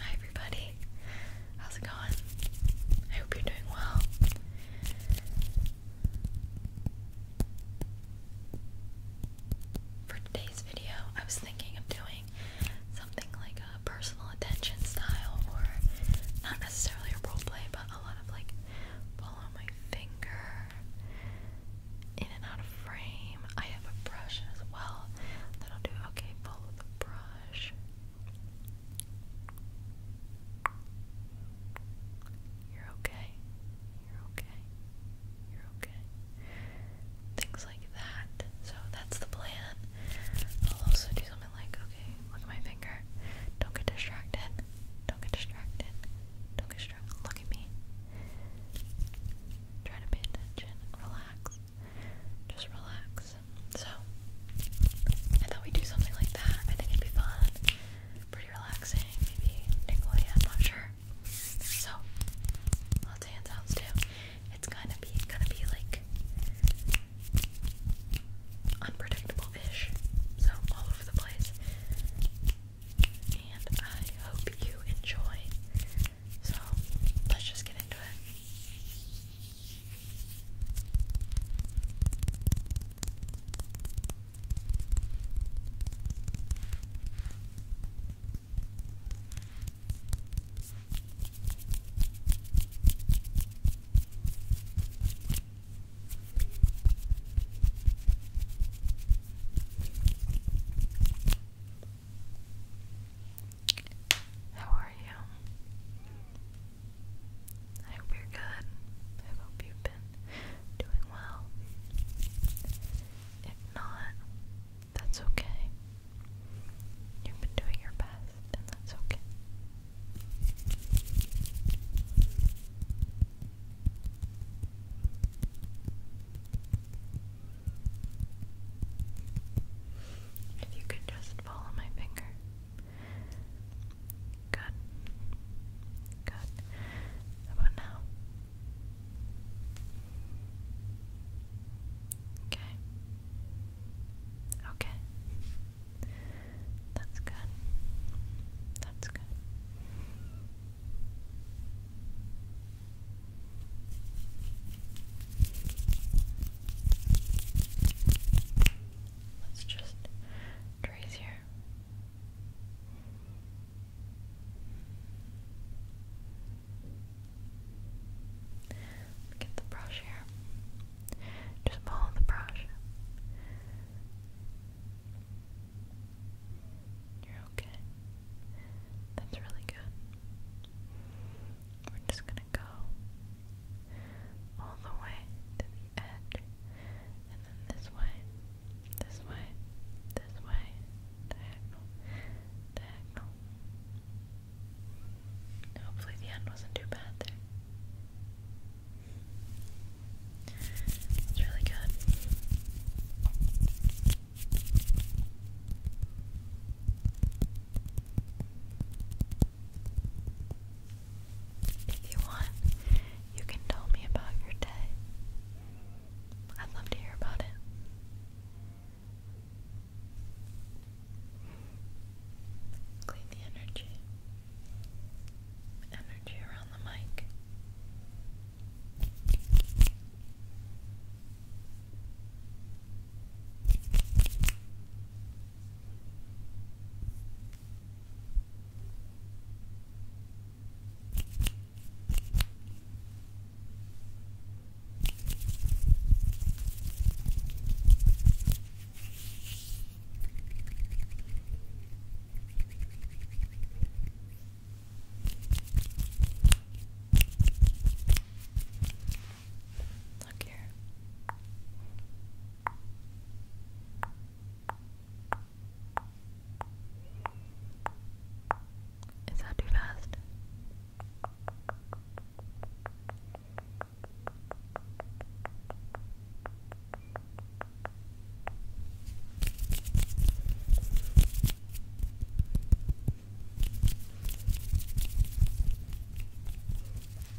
Hi everybody, how's it going? I hope you're doing well. For today's video, I was thinking of doing something like a personal attention style or not necessarily a role play, but a lot of like follow my finger in and out of frame. I have a brush as well that'll do okay, follow the brush. You're okay. You're okay. You're things like that. So that's the plan. I'll also do something like, okay, look at my finger. Don't get distracted. Don't get distracted. Don't get distracted. Look at me. Try to pay attention. Relax. Just relax. So I thought we'd do something like that. I think it'd be fun. Pretty relaxing, maybe tingly, I'm not sure. So lots of hand sounds too. It's gonna be gonna be like unpredictable-ish. So all over the place. And I hope you enjoy. So let's just get into it. How are you? I hope you're good. I hope you've been doing well. If not, that's okay. You've been doing your best, and that's okay. If you could just follow my finger. Good. Good. about now? Okay. Okay. That's good. That's good. Let's just trace here. Get the brush here. Just follow the brush. You're okay. That's really good. We're just gonna go all the way to the edge and then this way. This way. This way. Diagonal. Diagonal. Hopefully the end wasn't too bad there. It's really good. If you want, you can tell me about your day. I'd love to hear about it. Clean the energy. Energy around the mic. Look here. Is that too fast?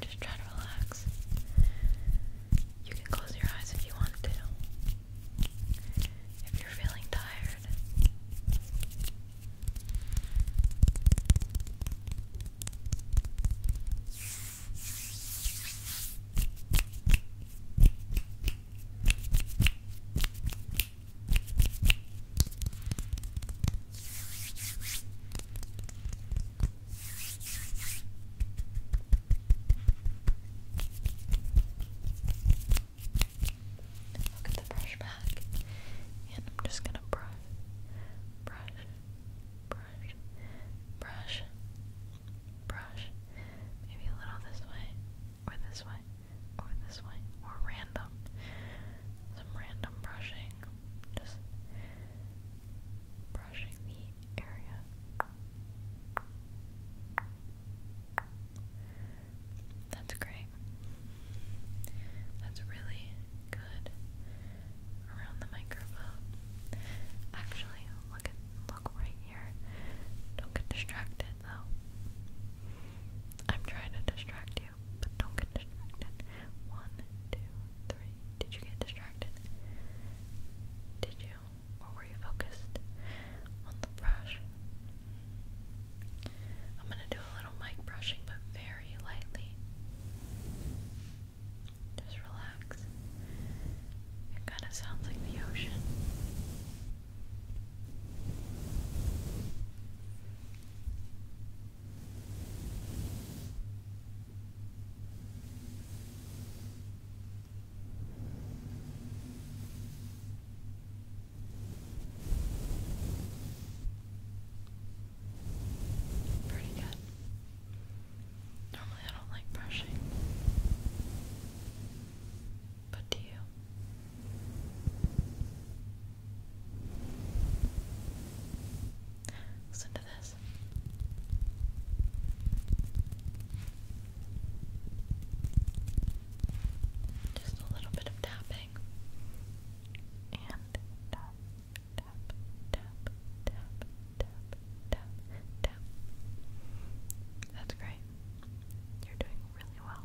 Just try to relax. You can close your eyes if you want to. If you're feeling tired, I'll the brush back and I'm just gonna brush, brush, brush, brush, brush. Maybe a little this way, or this way, or this way, or random. Some random brushing. Just brushing the area. That's great. That's really good around the microphone. Actually, look at look right here. Don't get distracted though. I'm trying to distract you, but don't get distracted. One, two, three. Did you get distracted? Did you? Or were you focused on the brush? I'm going to do a little mic brushing, but very lightly. Just relax. It kind of sounds like the ocean. Pretty good. Normally, I don't like brushing, but do you? Listen to this this. Just a little bit of tapping. And tap, tap, tap, tap, tap, tap, tap. That's great. You're doing really well.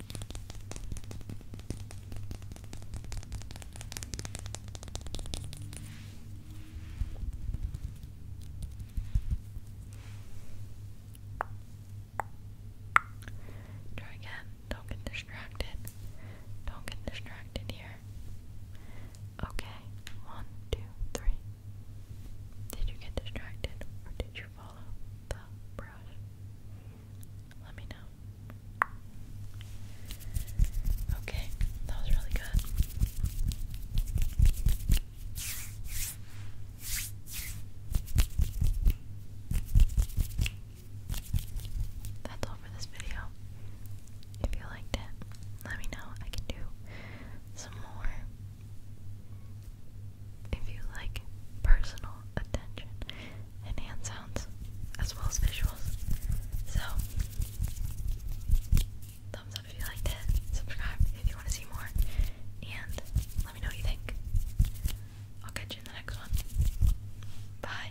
Try again. Don't get distracted. Don't get distracted here. Okay. One, two, three. Did you get distracted or did you follow the let me know. Okay, that was really good. That's all for this video. If you liked it, let me know. I can do some more if you like personal attention and hand sounds as well as visuals. So, thumbs up if you liked it, subscribe if you want to see more, and let me know what you think. I'll catch you in the next one. Bye.